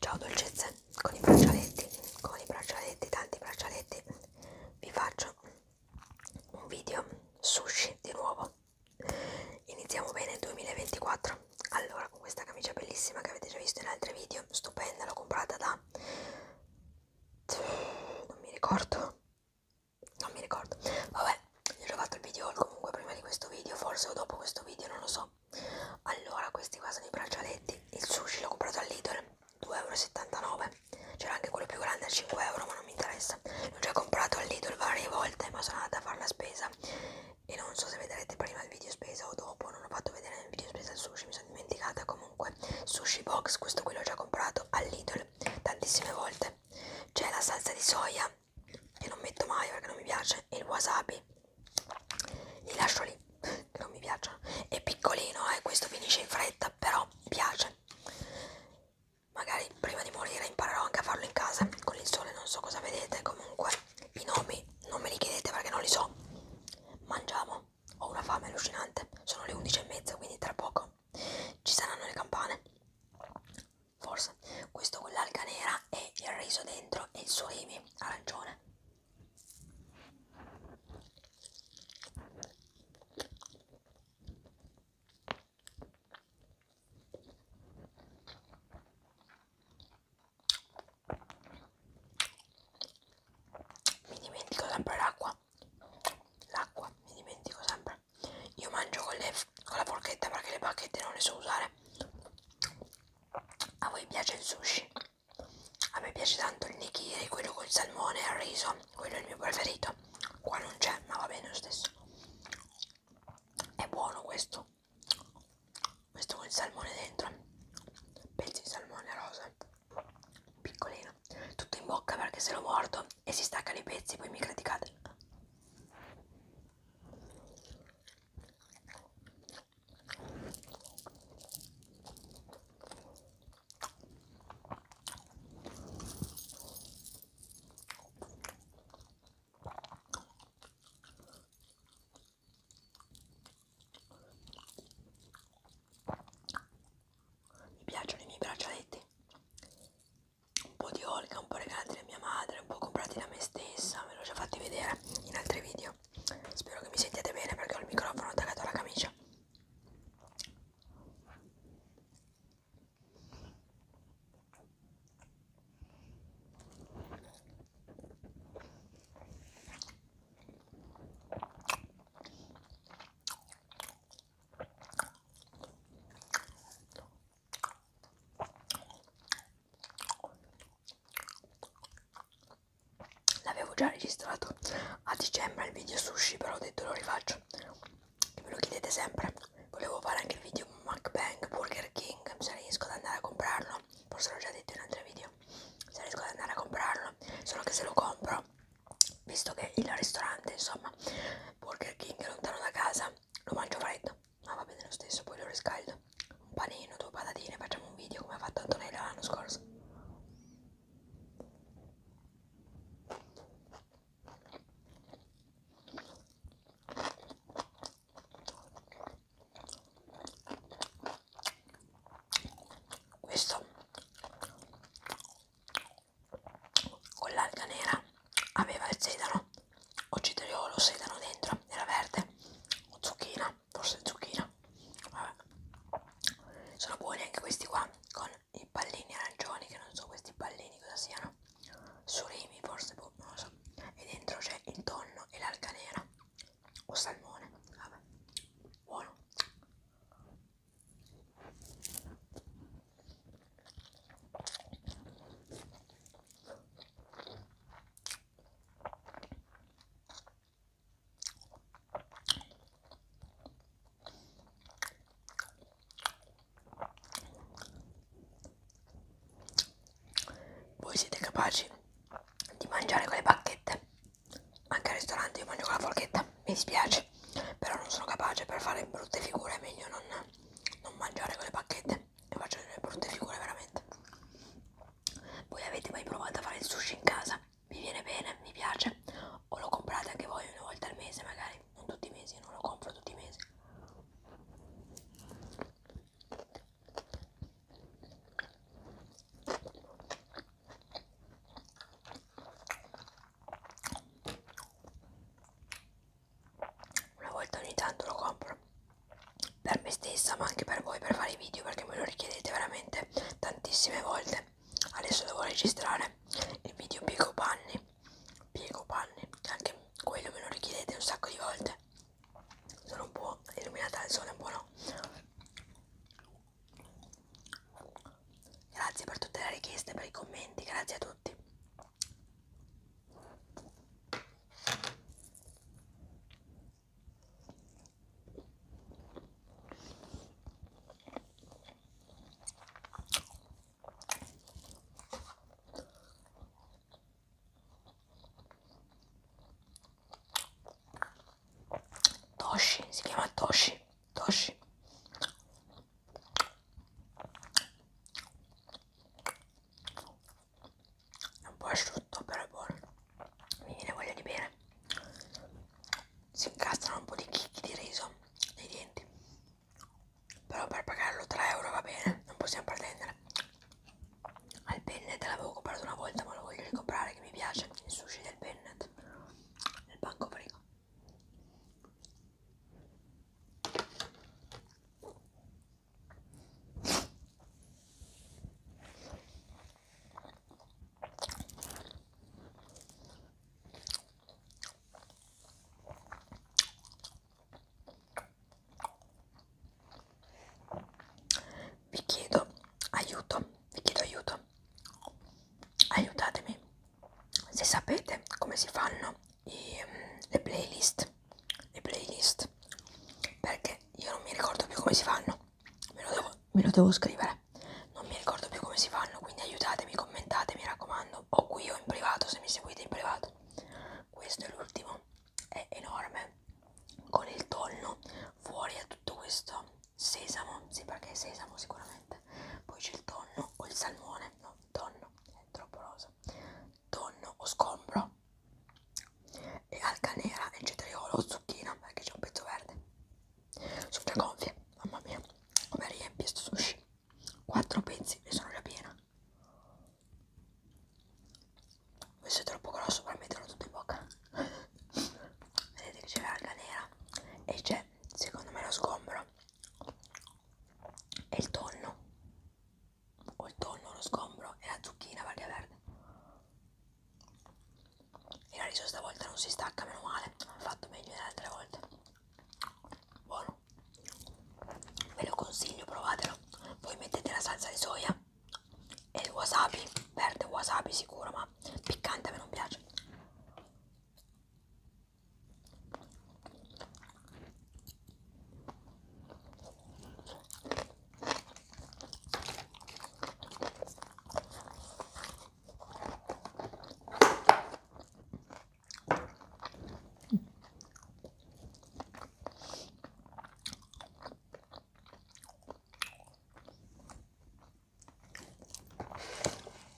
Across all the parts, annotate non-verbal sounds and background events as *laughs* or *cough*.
Ciao dolcezze, con i braccialetti, con i braccialetti, tanti braccialetti, vi faccio un video sushi di nuovo. Iniziamo bene il 2024. Allora, con questa camicia bellissima che avete già visto in altri video, stupenda, l'ho comprata da era? Non mi ricordo. Non mi ricordo. Vabbè, gli ho fatto il video comunque prima di questo video, forse o dopo questo video, non lo so. Allora, questi qua sono i braccialetti. Il sushi l'ho comprato all'Idol, 2,79€. C'era anche quello più grande a 5€, ma non mi interessa. L'ho già comprato all'Idol varie volte, ma sono andata a fare la spesa. E non so se vedrete prima il video spesa o dopo. Non ho fatto vedere nel video spesa il sushi, mi sono sono dimenticata comunque sushi box questo qui l'ho già comprato all'idol tantissime volte c'è la salsa di soia che non metto mai perché non mi piace e il wasabi li lascio lì che non mi piacciono è piccolino eh questo finisce in fretta però piace magari prima di morire imparerò anche a farlo in casa con il sole non so cosa vedete comunque i nomi non me li chiedete perché non li so. Mangiamo. Ho una fame allucinante. Sono le 11 e mezza, quindi tra poco ci saranno le campane. Forse. Questo con l'alga nera e il riso dentro e il surimi arancione mi dimentico sempre l'acqua l'acqua mi dimentico sempre io mangio con, le, con la forchetta perché le bacchette non le so usare a voi piace il sushi a me piace tanto il nigiri quello col salmone e il riso quello è il mio preferito qua non c'è ma va bene lo stesso è buono questo questo con il salmone dentro pezzi di salmone rosa piccolino tutto in bocca perché se lo mordo e si staccano i pezzi poi mi criticate mi piacciono i miei braccialetti. Un po' di Olga, un po' regalati da mia madre, un po' comprati da me stessa. Ve l'ho già fatti vedere in altri video. Spero che mi sentiate bene perché ho il microfono attaccato alla camicia. L'avevo già registrato a dicembre il video sushi, però ho detto lo rifaccio. Che me lo chiedete sempre. Volevo fare anche il video MacBang Burger King, se riesco ad andare a comprarlo buono forse l'ho già detto in altri video se riesco ad andare a comprarlo solo che se lo compro visto che il ristorante insomma Burger King è lontano da casa lo mangio freddo ma va bene lo stesso poi lo riscaldo un panino due patatine facciamo un video come ha fatto Antonella l'anno scorso questo con l'alga nera aveva il sedano oggi ho lo sedano dentro era verde o zucchina forse zucchina Vabbè. sono buoni anche questi qua con i pallini arancioni che non so questi pallini cosa siano surimi forse boh, non lo so e dentro c'è il tonno e l'alga nera o salmone, vabbè, buono voi siete capaci di mangiare con le bacchette anche al ristorante io mangio con la forchetta mi dispiace però non sono capace per fare brutte figure è meglio non, non mangiare con le bacchette e faccio delle brutte figure veramente voi avete mai provato a fare il sushi in casa vi viene bene mi piace o lo comprate anche voi una volta al mese magari non tutti i mesi io non lo compro tutti i mesi una volta ogni tanto lo compro per me stessa, ma anche per voi per fare i video perché me lo richiedete veramente tantissime volte. Adesso devo registrare il video Piego Panni. Piego Panni, anche quello me lo richiedete un sacco di volte sono un po' illuminata dal sole, un po' no. Grazie per tutte le richieste, per i commenti, grazie a tutti. Toshi, si chiama Toshi, Toshi. È un po' asciutto, però è buono. Mi viene voglia di bere. Si incastrano un po' di chicchi di riso nei denti. Però per pagarlo 3 euro va bene, non possiamo pretendere al pennet l'avevo comprato una volta ma lo voglio ricomprare che mi piace il sushi del pennet nel banco frigo vi chiedo aiuto, vi chiedo aiuto, aiutatemi se sapete come si fanno i, mm, le playlist, le playlist, perché io non mi ricordo più come si fanno, me lo devo, me lo devo scrivere, non mi ricordo più come si fanno, quindi aiutatemi, commentate, mi raccomando, o qui o in privato se mi seguite in privato, questo è l'ultimo è enorme con il tonno fuori a tutto questo sesamo sì perché è sesamo sicuramente poi c'è il tonno o il salmone no tonno è troppo rosa tonno o scombro e alca nera e cetriolo o zucchina perché c'è un pezzo verde sono già gonfie mamma mia come riempie sto sushi quattro pezzi e sono già piena questo è troppo grosso per metterlo tutto in bocca. *laughs* Vedete che c'è l'alga nera e c'è, secondo me, lo sgombro e il tonno. O il tonno, lo sgombro e la zucchina perché è verde. Il riso stavolta non si stacca, meno male. Ho fatto meglio delle altre volte. Buono. Ve lo consiglio, provatelo voi mettete la salsa di soia e il wasabi, verde wasabi sicuro, ma piccante a me non piace.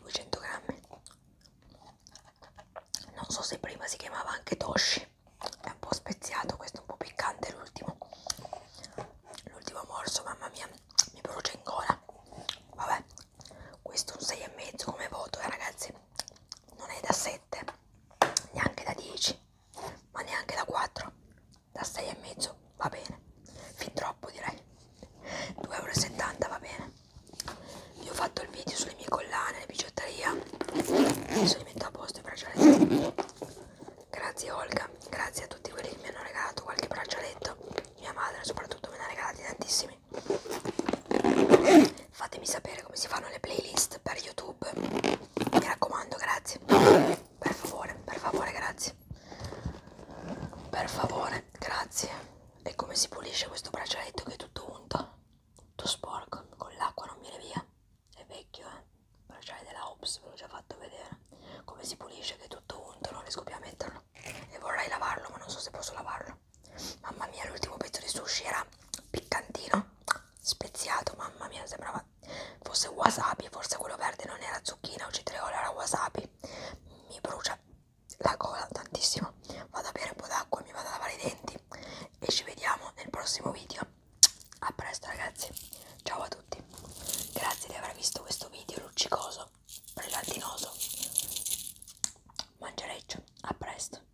200 grammi non so se prima si chiamava anche toshi è un po' speziato questo è un po' piccante l'ultimo l'ultimo morso mamma mia mi brucia in gola vabbè questo un 6 e mezzo come voto eh, ragazzi non è da 7 neanche da 10 ma neanche da 4 da 6 e mezzo va bene fin troppo direi 2,70 euro va bene io ho fatto il video sulle mie collane le bigiotteria mi sono metto a posto i braccialetti grazie Olga grazie a tutti quelli che mi hanno regalato qualche braccialetto mia madre soprattutto me ne ha regalati tantissimi fatemi sapere come si fanno le playlist per youtube mi raccomando grazie per favore per favore grazie per favore grazie e come si pulisce questo braccialetto che è tutto unto tutto sporco con l'acqua non viene via è vecchio eh bracciale della Ops ve l'ho già fatto vedere come si pulisce che è tutto unto non riesco più a metterlo e vorrei lavarlo ma non so se posso lavarlo mamma mia l'ultimo pezzo di sushi era piccantino speziato, mamma mia, sembrava fosse wasabi, forse quello verde non era zucchina o citriolo, era wasabi. Mi brucia la gola tantissimo. Vado a bere un po' d'acqua, mi vado a lavare i denti e ci vediamo nel prossimo video. A presto ragazzi, ciao a tutti. Grazie di aver visto questo video luccicoso, brillantinoso, mangereccio, a presto.